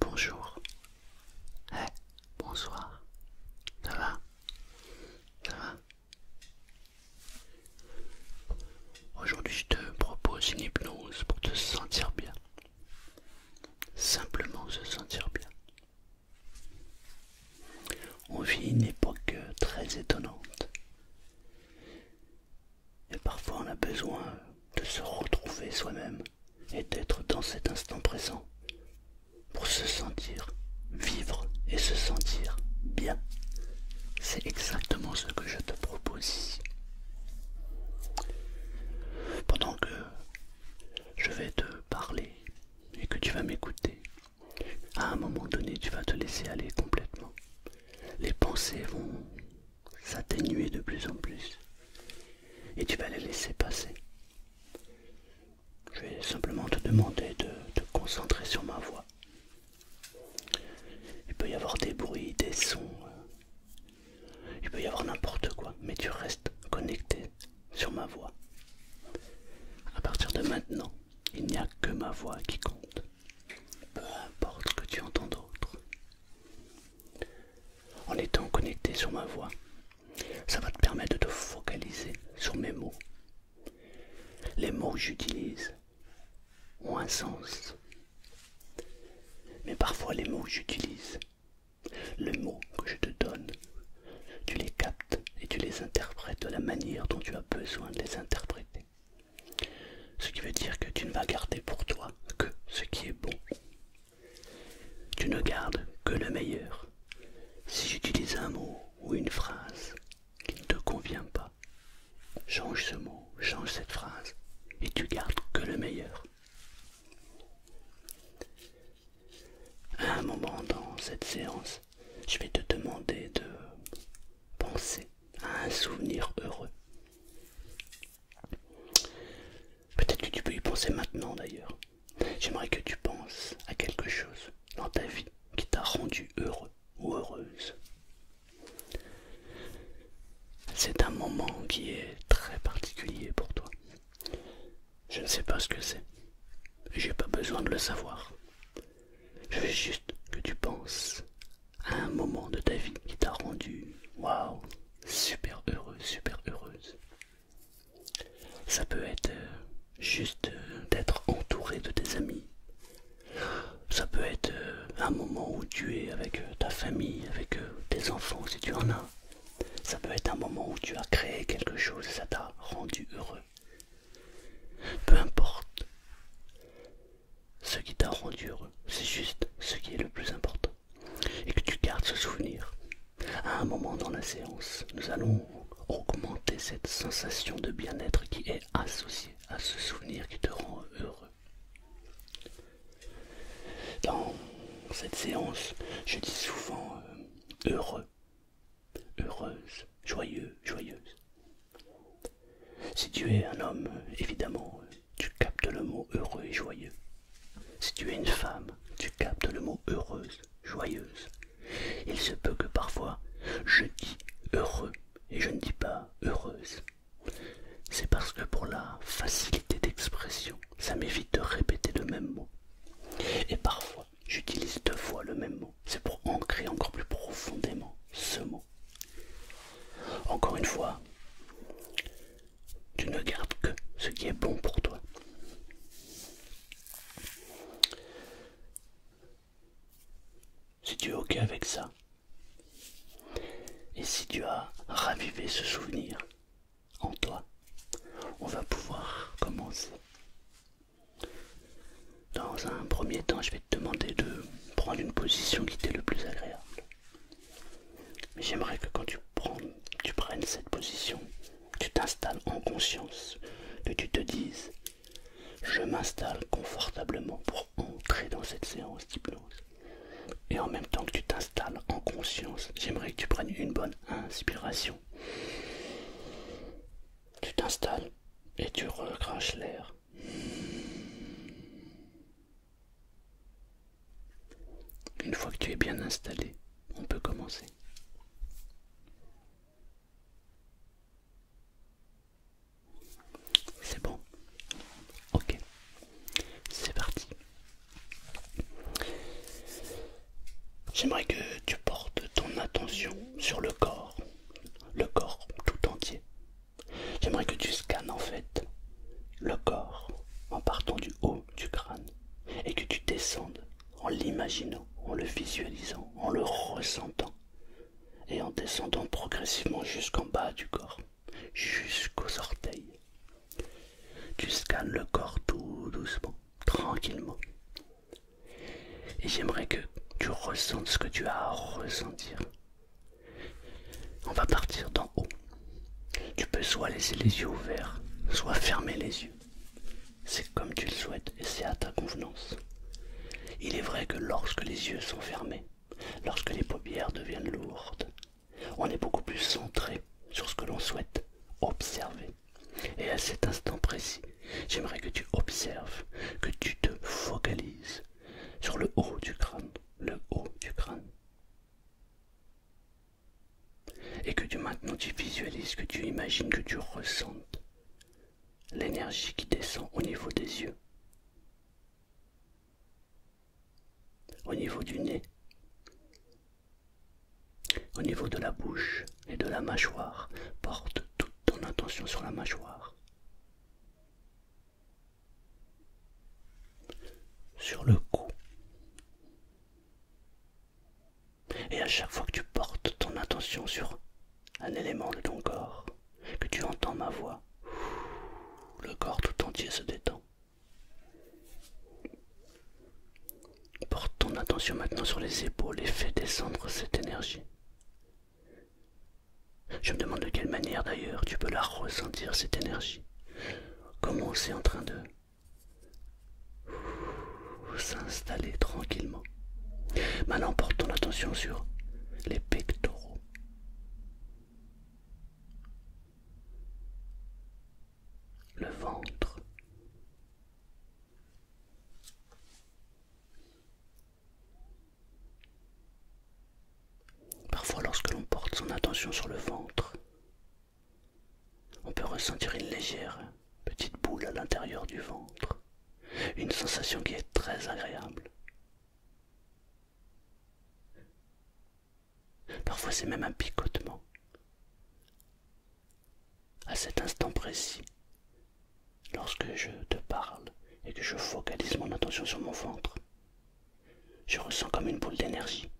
bonjour. bonsoir. Ça va Ça va Aujourd'hui, je te propose une hypnose pour te sentir bien. Simplement se sentir bien. On vit une époque très étonnante. Et parfois on a besoin de se retrouver soi-même et d'être dans cet instant présent pour se sentir vivre et se sentir bien. C'est exactement ce que je te propose ici. Pendant que je vais te parler et que tu vas m'écouter, à un moment donné, tu vas te laisser aller complètement. Les pensées vont s'atténuer de plus en plus. Et tu vas les laisser passer. Je vais simplement te demander de te concentrer sur ma voix. Il peut y avoir des bruits, des sons. Il peut y avoir n'importe quoi, mais tu restes connecté sur ma voix. À partir de maintenant, il n'y a que ma voix qui compte. Peu importe que tu entends d'autre. En étant connecté sur ma voix, ça va te permettre de te focaliser sur mes mots. Les mots que j'utilise ont un sens. Mais parfois les mots que j'utilise, les mots que je te donne tu les captes et tu les interprètes de la manière dont tu as besoin de les interpréter. Ce qui veut dire que tu ne vas garder pour toi que ce qui est bon. Tu ne gardes que le meilleur. Si j'utilise un mot ou une phrase qui ne te convient pas, change ce mot, change cette phrase, et tu gardes que le meilleur. À un moment dans cette séance, je vais te demander de penser à un souvenir heureux. Peut-être que tu peux y penser maintenant d'ailleurs. J'aimerais que tu penses à quelque chose dans ta vie qui t'a rendu heureux ou heureuse. C'est un moment qui est très particulier pour toi. Je ne sais pas ce que c'est. J'ai pas besoin de le savoir. Je veux juste que tu penses à un moment de ta vie qui t'a rendu waouh, super heureux, super heureuse. Ça peut être euh, juste euh, d'être entouré de tes amis. Ça peut être euh, un moment où tu es avec ta famille, avec tes enfants si tu en as. Ça peut être un moment où tu as créé quelque chose et ça t'a rendu heureux. Peu importe ce qui t'a rendu heureux, c'est juste ce qui est le plus important. Et que tu gardes ce souvenir. À un moment dans la séance, nous allons augmenter cette sensation de bien-être qui est associée à ce souvenir qui te rend heureux. Dans cette séance, je dis souvent euh, heureux heureuse, joyeux, joyeuse. Si tu es un homme, évidemment, tu captes le mot heureux et joyeux. Si tu es une femme, tu captes le mot heureuse, joyeuse. Il se peut que parfois je dis heureux et je ne dis pas heureuse. C'est parce que pour la facilité d'expression, ça m'évite de répéter le même mot. Et parfois, j'utilise deux fois le même mot. C'est pour ancrer encore plus profondément ce mot. Encore une fois, tu ne gardes que ce qui est bon pour toi. Si tu es OK avec ça, et si tu as ravivé ce souvenir en toi, on va pouvoir commencer dans un premier temps, je vais te demander de prendre une position qui t'est le plus agréable. Mais j'aimerais que quand tu, tu prennes cette position, tu t'installes en conscience, que tu te dises je m'installe confortablement pour entrer dans cette séance d'hypnose. Et en même temps que tu t'installes en conscience, j'aimerais que tu prennes une bonne inspiration. Tu t'installes et tu recraches l'air. Une fois que tu es bien installé, on peut commencer. C'est bon. Ok. C'est parti. J'aimerais que tu portes ton attention sur le corps, le corps tout entier. J'aimerais que tu scannes en fait le corps en partant du haut du crâne et que tu descendes en l'imaginant, en le visualisant, en le ressentant et en descendant progressivement jusqu'en bas du corps, jusqu'aux orteils. Tu scannes le corps tout doucement, tranquillement, et j'aimerais que tu ressentes ce que tu as à ressentir. On va partir d'en haut. Tu peux soit laisser les yeux ouverts, soit fermer les yeux. C'est comme tu le souhaites et c'est à ta convenance. Il est vrai que lorsque les yeux sont fermés, lorsque les paupières deviennent lourdes, on est beaucoup plus centré sur ce que l'on souhaite observer. Et à cet instant précis, j'aimerais que tu observes, que tu te focalises sur le haut du crâne, le haut du crâne. Et que tu maintenant tu visualises, que tu imagines, que tu ressentes l'énergie qui descend au niveau des yeux, au niveau du nez, au niveau de la bouche et de la mâchoire, porte toute ton attention sur la mâchoire. Sur le cou. Et à chaque fois que tu portes ton attention sur un élément de ton corps, que tu entends ma voix, le corps tout entier se détend. Porte ton attention maintenant sur les épaules et fais descendre cette énergie. Je me demande de quelle manière d'ailleurs tu peux la ressentir, cette énergie. Comment c'est en train de s'installer tranquillement. Maintenant, porte ton attention sur les pectoraux. Le ventre. Parfois lorsque l'on porte son attention sur le ventre, on peut ressentir une légère petite boule à l'intérieur du ventre, une sensation qui est très agréable. Parfois c'est même un picotement. À cet instant précis, lorsque je te parle et que je focalise mon attention sur mon ventre, je ressens comme une boule d'énergie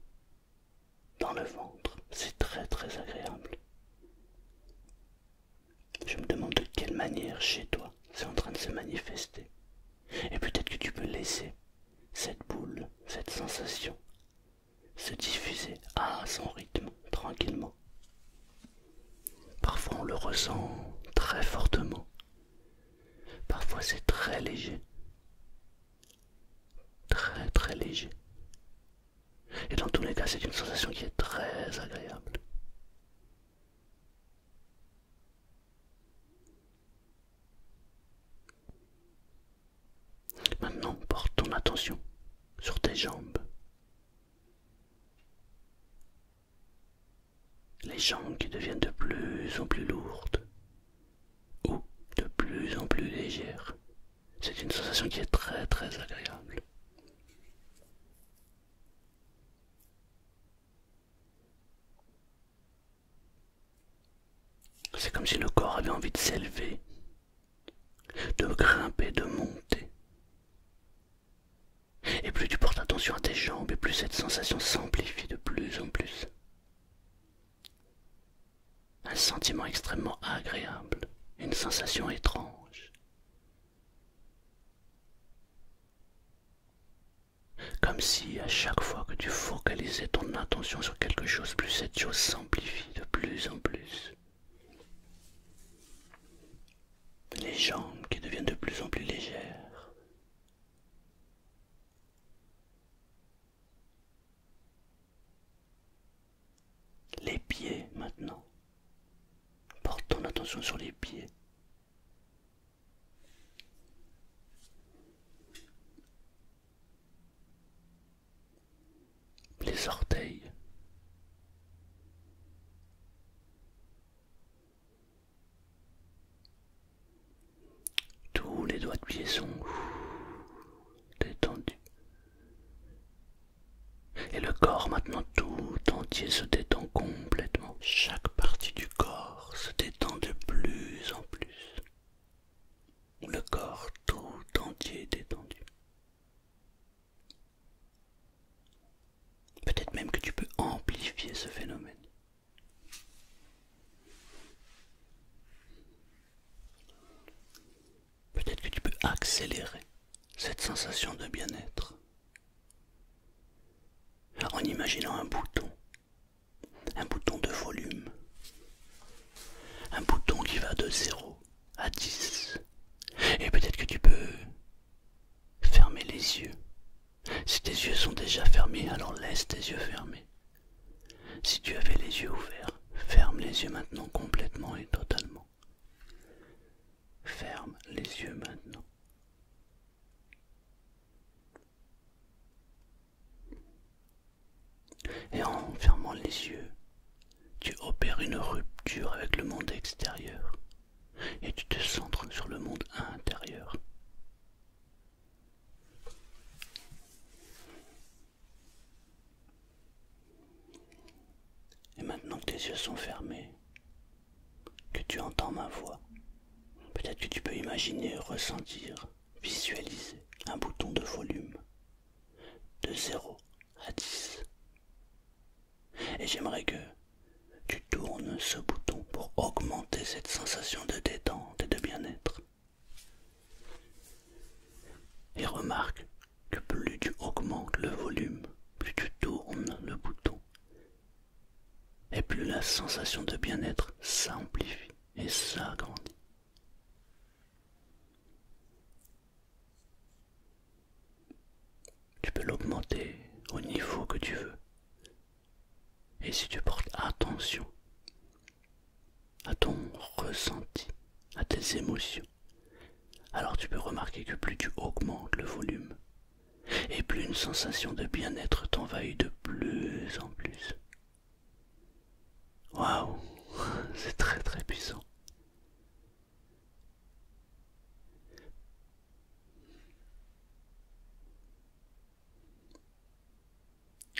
dans le ventre. C'est très très agréable. Je me demande de quelle manière chez toi c'est en train de se manifester. Et peut-être que tu peux laisser cette boule, cette sensation se diffuser à son rythme tranquillement Parfois on le ressent très fortement. Parfois c'est très léger. Très très léger. Et dans tous les cas, c'est une sensation qui est très agréable. Maintenant, porte ton attention sur tes jambes, les jambes qui deviennent de plus en plus lourdes ou de plus en plus légères. C'est une sensation qui est très très agréable. C'est comme si le corps avait envie de s'élever de grimper, de monter. Et plus tu portes attention à tes jambes, et plus cette sensation s'amplifie de plus en plus. Un sentiment extrêmement agréable, une sensation étrange. Comme si à chaque fois que tu focalisais ton attention sur quelque chose, plus cette chose s'amplifie de plus en plus les jambes qui deviennent de plus en plus légères. Les pieds maintenant. Portons ton attention sur les pieds les orteils. Tous les doigts de pied sont détendus. Et le corps maintenant tout entier se détend complètement. Chaque partie du corps se détend de plus en plus. Le corps tout entier détendu. Peut-être même que tu peux amplifier ce phénomène. Peut-être que tu peux accélérer cette sensation de bien-être en imaginant un bouton, un bouton de volume, un bouton qui va de zéro à 10. Et peut-être que tu peux fermer les yeux. Si tes yeux sont déjà fermés, alors laisse tes yeux fermés. Si tu avais les yeux ouverts, ferme les yeux maintenant complètement et totalement. Ferme les yeux maintenant. Et en fermant les yeux, tu opères une rupture avec le monde extérieur et tu te centres sur le monde intérieur. Et maintenant que tes yeux sont fermés, que tu entends ma voix, peut-être que tu peux imaginer, ressentir, visualiser un bouton de volume de 0 à 10. Et j'aimerais que tu tournes ce bouton pour augmenter cette sensation de détente et de bien-être. Et remarque que plus tu augmentes le volume, plus tu tournes le bouton, et plus la sensation de bien-être s'amplifie et s'agrandit. Tu peux l'augmenter au niveau que tu veux. Et si tu portes attention à ton ressenti, à tes émotions, alors tu peux remarquer que plus tu augmentes le volume, et plus une sensation de bien-être t'envahit de plus en plus. Waouh, c'est très très puissant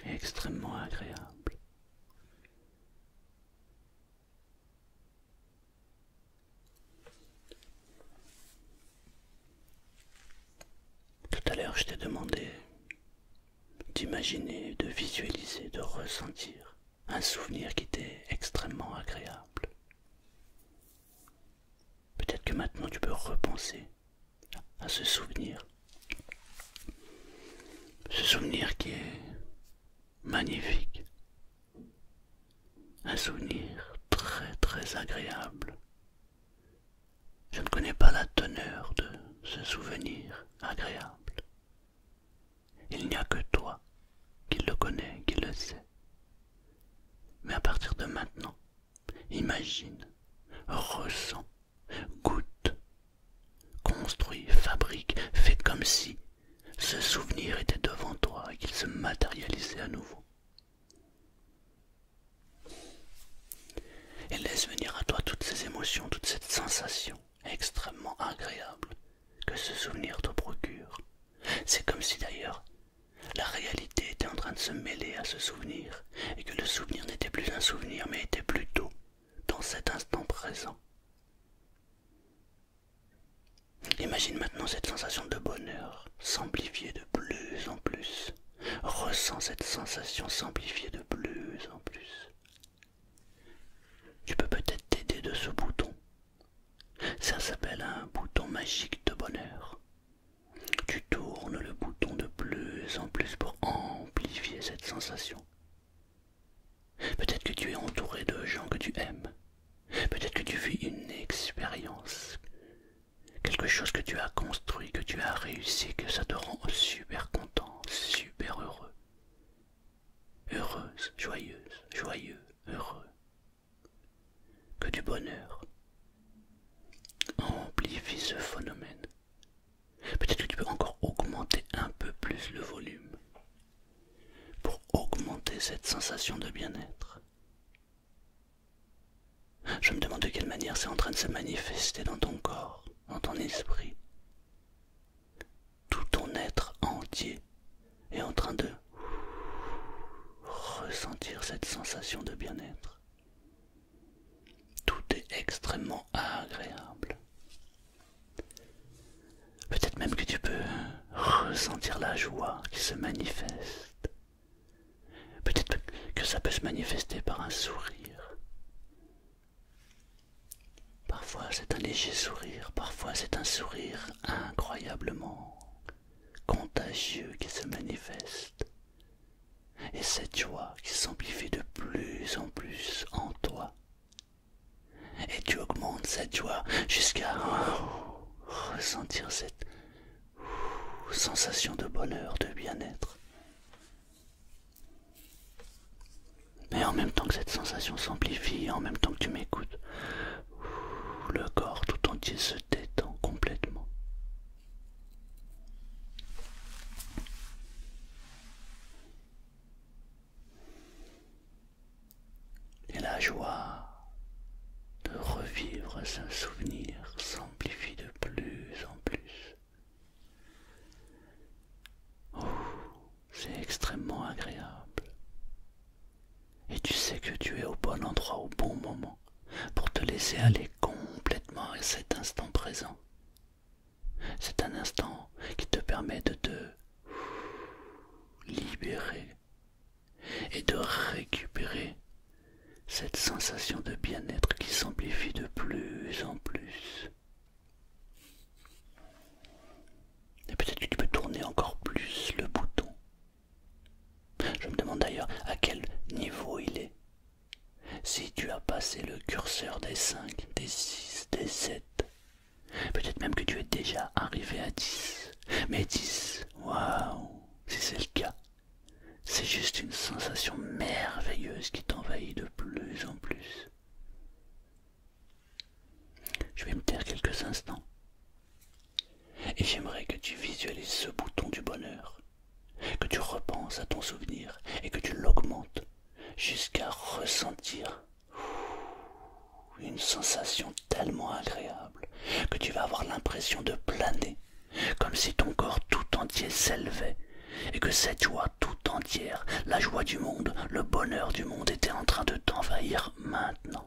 extrêmement agréable. Tout à l'heure, je t'ai demandé d'imaginer, de visualiser, de ressentir un souvenir qui était extrêmement agréable. Peut-être que maintenant tu peux repenser à ce souvenir. Ce souvenir qui est magnifique. Un souvenir très très agréable. Je ne connais pas la teneur de ce souvenir agréable. Il n'y a que toi qui le connais, qui le sais. Mais à partir de maintenant, imagine, ressens, goûte, construis, fabrique, fais comme si ce souvenir était devant toi et qu'il se matérialisait à nouveau. Et laisse venir à toi toutes ces émotions, toutes ces sensations extrêmement agréable que ce souvenir te procure. C'est comme si d'ailleurs la réalité était en train de se mêler à ce souvenir et que le souvenir n'était plus un souvenir mais était plutôt dans cet instant présent. Imagine maintenant cette sensation de bonheur s'amplifier de plus en plus. Ressens cette sensation s'amplifier de plus en plus. Tu peux peut-être t'aider de ce bouton ça s'appelle un bouton magique de bonheur. Tu tournes le bouton de plus en plus pour amplifier cette sensation. Peut-être que tu es entouré de gens que tu aimes. Peut-être que tu vis une expérience. Quelque chose que tu as construit, que tu as réussi, que ça te rend super content, super heureux heureuse, joyeuse, joyeux, heureux. Que du bonheur. Amplifie ce phénomène. Peut-être que tu peux encore augmenter un peu plus le volume pour augmenter cette sensation de bien-être. Je me demande de quelle manière c'est en train de se manifester dans ton corps, dans ton esprit tout ton être entier est en train de ressentir cette sensation de bien-être. Tout est extrêmement agréable. Peut-être même que tu peux ressentir la joie qui se manifeste. Peut-être que ça peut se manifester par un sourire. Parfois c'est un léger sourire, parfois c'est un sourire incroyablement contagieux qui se manifeste. Et cette joie qui s'amplifie de plus en plus en toi. Et tu augmentes cette joie jusqu'à ressentir cette sensation de bonheur, de bien-être. Mais en même temps que cette sensation s'amplifie, en même temps que tu m'écoutes, le corps tout entier se détend complètement. Et la joie de revivre un souvenir s'amplifie de plus en plus c'est extrêmement agréable. Et tu sais que tu es au bon endroit au bon moment pour te laisser aller complètement à cet instant présent. C'est un instant qui te permet de te libérer et de récupérer cette sensation de bien-être qui s'amplifie de plus en plus. Et peut-être que tu peux tourner encore plus le bouton. Je me demande d'ailleurs à quel niveau il est. Si tu as passé le curseur des 5, des 6, des 7, peut-être même que tu es déjà arrivé à 10. Mais 10, waouh, si c'est le cas, c'est juste une sensation merveilleuse qui t'envahit de plus en plus. Je vais me taire quelques instants. Et j'aimerais que tu visualises ce bouton du bonheur, que tu repenses à ton souvenir et que tu l'augmentes jusqu'à ressentir une sensation tellement agréable que tu vas avoir l'impression de planer, comme si ton corps tout entier s'élevait et que cette joie tout entière, la joie du monde, le bonheur du monde était en train de t'envahir maintenant.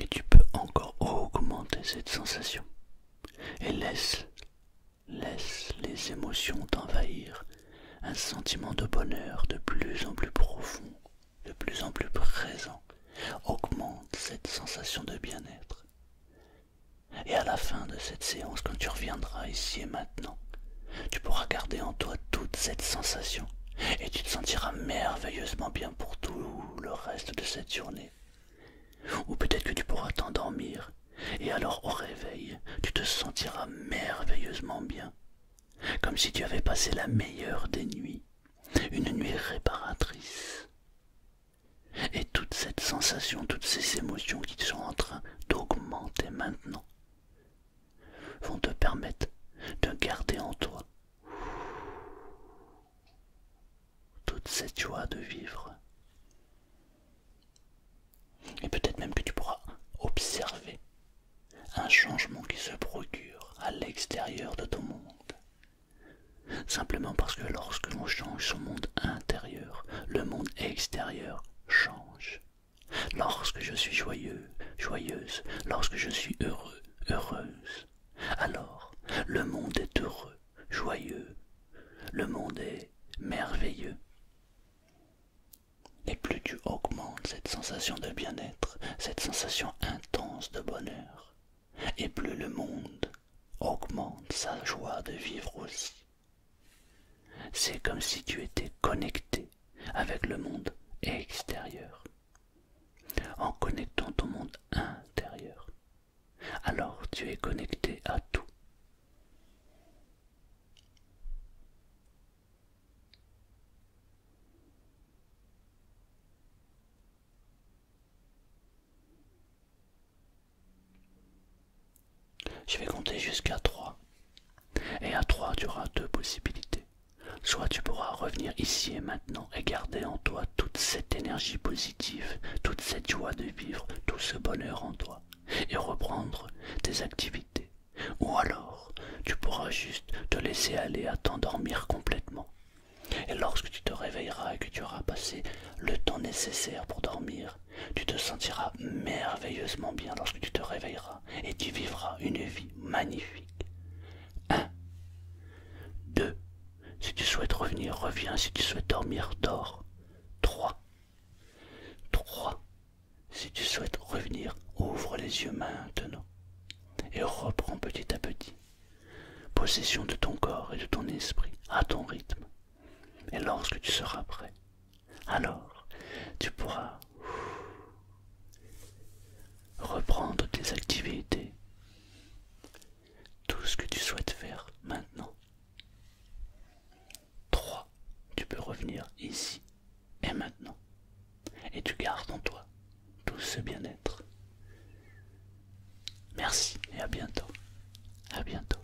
Et tu peux encore augmenter cette sensation. Et laisse, laisse les émotions t'envahir. Un sentiment de bonheur de plus en plus profond, de plus en plus présent, augmente cette sensation de bien-être. Et à la fin de cette séance, quand tu reviendras ici et maintenant, tu pourras garder en toi toute cette sensation et tu te sentiras merveilleusement bien pour tout le reste de cette journée. Ou peut-être que tu pourras t'endormir et alors au réveil, tu te sentiras merveilleusement bien, comme si tu avais passé la meilleure des nuits, une nuit réparatrice. Et toute cette sensation, toutes ces émotions qui sont en train d'augmenter maintenant, vont te permettre de garder en toi toute cette joie de vivre. Et peut-être même que tu pourras observer un changement qui se procure à l'extérieur de ton monde. Simplement parce que lorsque l'on change son monde intérieur, le monde extérieur change. Lorsque je suis joyeux, joyeuse, lorsque je suis heureux, heureuse. Alors, le monde est heureux, joyeux, le monde est merveilleux. Et plus tu augmentes cette sensation de bien-être, cette sensation intense de bonheur, et plus le monde augmente sa joie de vivre aussi. C'est comme si tu étais connecté avec le monde extérieur, en connectant ton monde intérieur. Alors tu es connecté à tout. Je vais compter jusqu'à 3. Et à 3, tu auras deux possibilités. Soit tu pourras revenir ici et maintenant et garder en toi toute cette énergie positive, toute cette joie de vivre, tout ce bonheur en toi, et reprendre tes activités. Ou alors, tu pourras juste te laisser aller à t'endormir complètement. Et lorsque tu te réveilleras et que tu auras passé le temps nécessaire pour dormir, tu te sentiras merveilleusement bien lorsque tu te réveilleras et tu vivras une vie magnifique. 1. 2. Si tu souhaites revenir, reviens. Si tu souhaites dormir, dors. 3. 3. Si tu souhaites revenir, ouvre les yeux maintenant et reprends petit à petit possession de ton corps et de ton esprit à ton rythme. Et lorsque tu seras prêt, alors tu pourras reprendre tes activités, tout ce que tu souhaites faire maintenant. 3. Tu peux revenir ici et maintenant. Et tu gardes en toi tout ce bien-être. Merci et à bientôt. À bientôt.